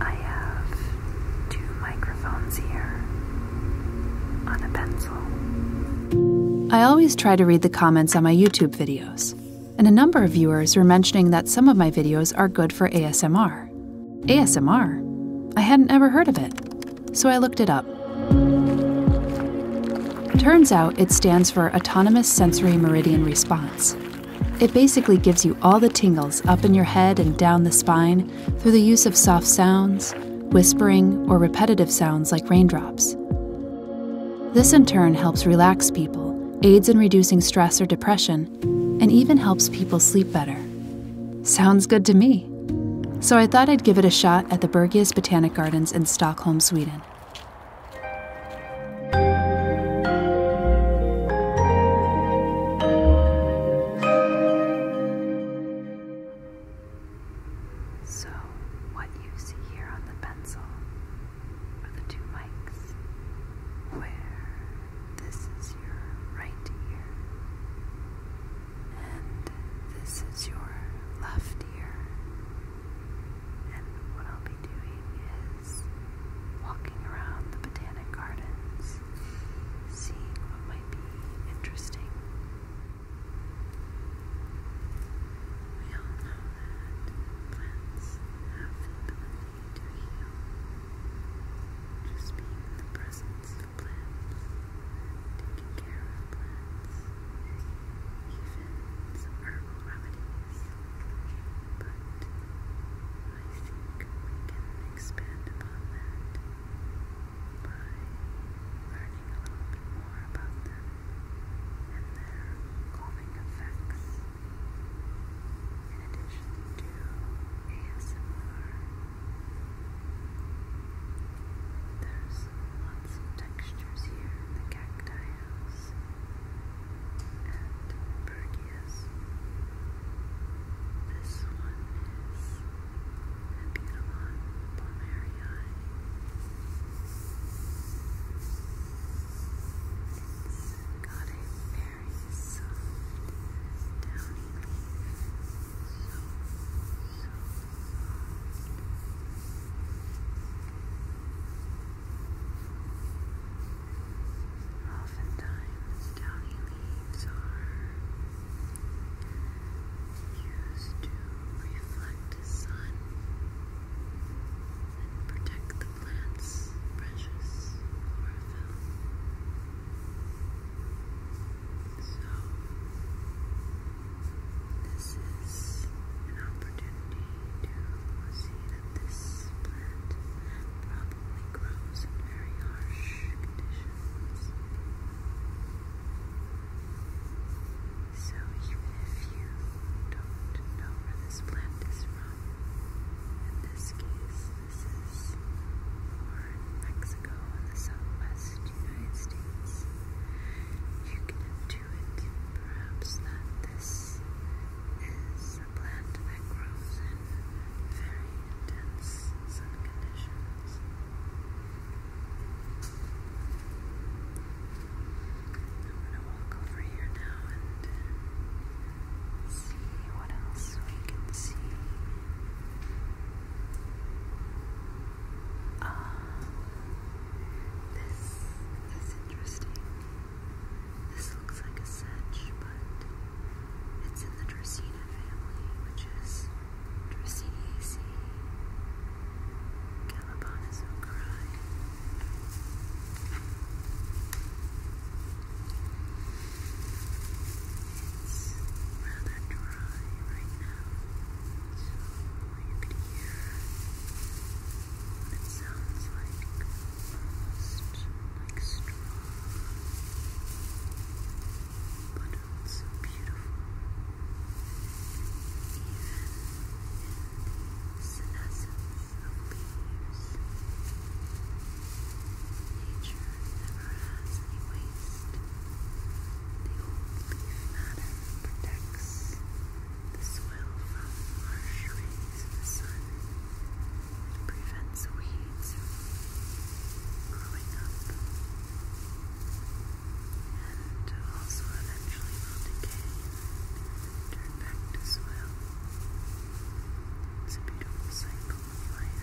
I have two microphones here on a pencil. I always try to read the comments on my YouTube videos, and a number of viewers were mentioning that some of my videos are good for ASMR. ASMR? I hadn't ever heard of it, so I looked it up. Turns out it stands for Autonomous Sensory Meridian Response, it basically gives you all the tingles up in your head and down the spine through the use of soft sounds, whispering, or repetitive sounds like raindrops. This in turn helps relax people, aids in reducing stress or depression, and even helps people sleep better. Sounds good to me. So I thought I'd give it a shot at the Bergius Botanic Gardens in Stockholm, Sweden. So, what you see here on the pencil are the two mics where this is your right ear and this is your left ear. And what I'll be doing plants, walking around the botanic gardens, seeing what might be interesting. We all know that plants have the ability to heal. Just being in the presence of plants, taking care of plants, even herbal remedies. But I think we can expand upon that by learning a little bit more about them and their calming effects. In addition to ASMR, there's lots of textures here in the cacti house and Burgess. This one is Nebulon Palmerii. It's got a very soft Oftentimes, downy leaves are used to reflect the sun and protect the plant's precious chlorophyll. So, this is an opportunity to see that this plant probably grows in very harsh conditions. So even if you don't know where this plant is from, in this case, this is born in Mexico in the southwest United States, you can intuit perhaps that this is is a plant that grows in very intense sun conditions. I'm going to walk over here now and uh, see what else we can see. Ah, this is interesting. This looks like a sedge, but it's in the Dracaena family, which is Dracaeaceae, Galabonazochori. It's rather dry right now, so you could hear it sounds like almost like straw, but also beautiful. Even in the nature never has any waste. The old leaf matter protects. The soil from marsh rays the sun. prevents weeds growing up. And also eventually will decay and turn back to soil. It's a beautiful cycle of life.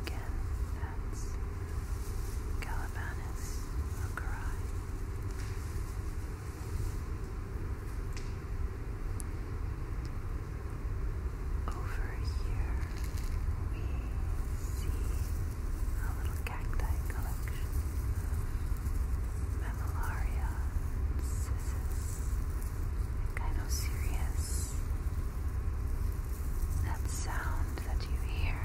Again, that's Calabanus ocarai. Over here, we see a little cacti collection of Mammillaria, Sissis, Gynocereus, that sound that you hear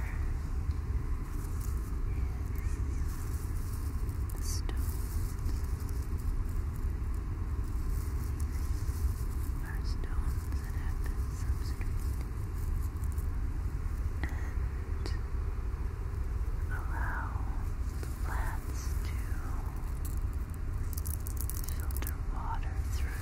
is the stones. Are stones that have been and allow the plants to filter water through. Now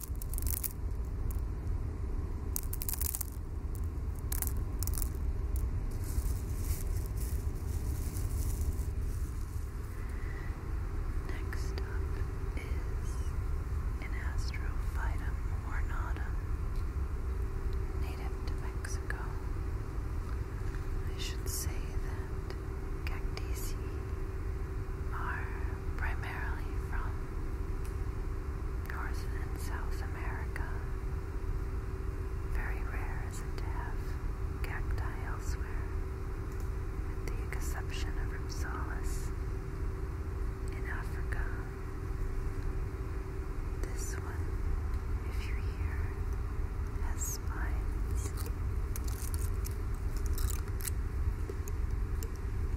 Next up is an Astrophytum ornatum, native to Mexico. I should say that cacti are primarily from North and South America. Very rare is it to cacti elsewhere, with the exception of Ripsalis in Africa. This one, if you're has spines. Astrophytum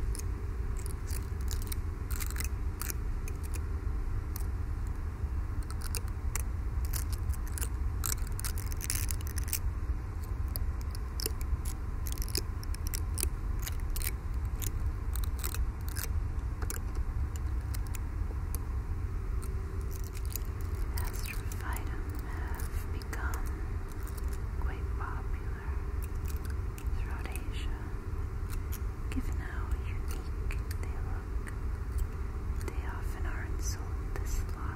have become quite popular throughout Asia, given how unique they look. They often aren't sold this large.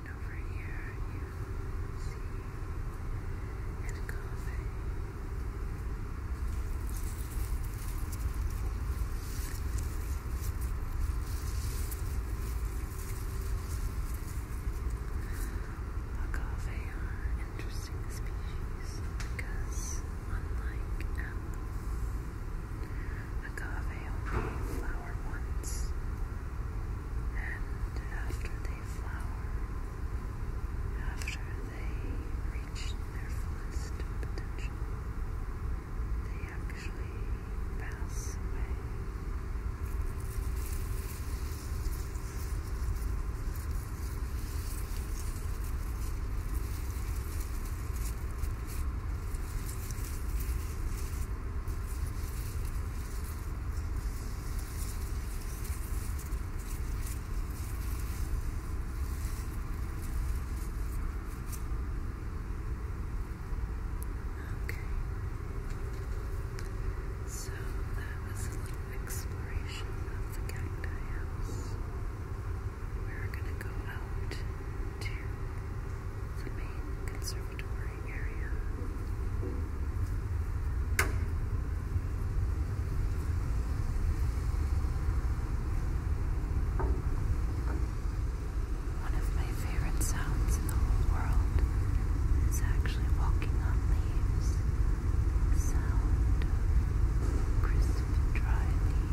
And you are interesting species because unlike apple, agave only flower once, and after they flower, after they reach their fullest potential, they actually pass away. Okay. So that was a exploration of the cacti house. We're going to go out to the main conservatory area. One of my favorite sounds in the whole world is actually walking on leaves. The sound of crisp, dry leaves.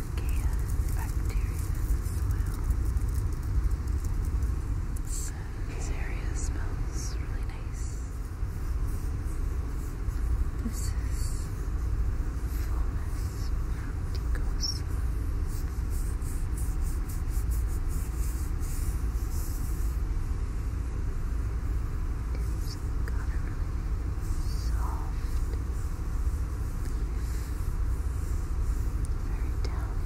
this area smells really nice. This is Fullness Manticosa. It's got a soft leaf very down.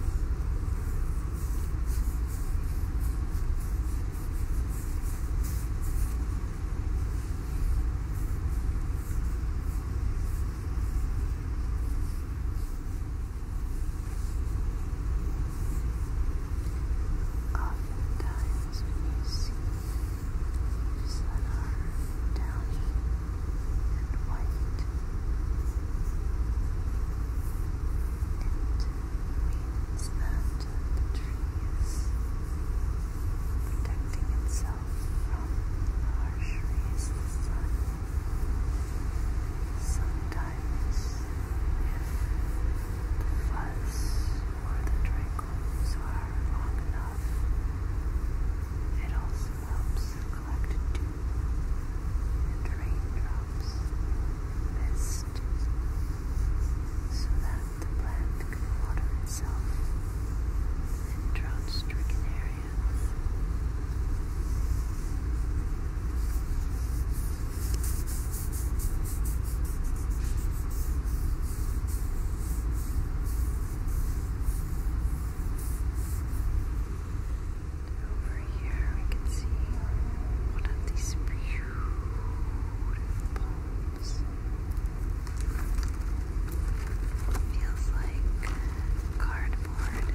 Oftentimes, when you see that are downy and white. It means that the tree is protecting itself from harsh rays of the sun. Sometimes, if the fuzz or the trichomes are long enough, it also drops collected dew, raindrops mist, so that the plant can water itself in drought-stricken areas. Over here we can see one of these beautiful Feels like cardboard.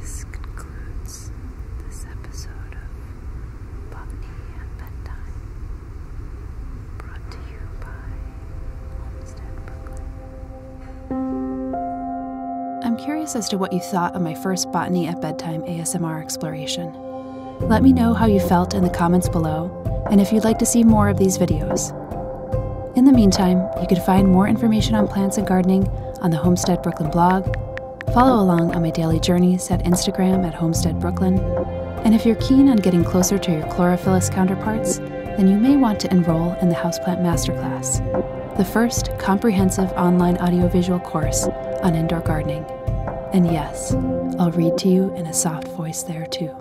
This concludes this episode of Botany at Bedtime, brought to you by Homestead Brooklyn. I'm curious as to what you thought of my first Botany at Bedtime ASMR exploration. Let me know how you felt in the comments below, and if you'd like to see more of these videos. In the meantime, you can find more information on plants and gardening on the Homestead Brooklyn blog, follow along on my daily journeys at Instagram at Homestead Brooklyn, and if you're keen on getting closer to your chlorophyllus counterparts, then you may want to enroll in the Houseplant Masterclass, the first comprehensive online audiovisual instructional course on indoor gardening. And yes, I'll read to you in a soft voice there too.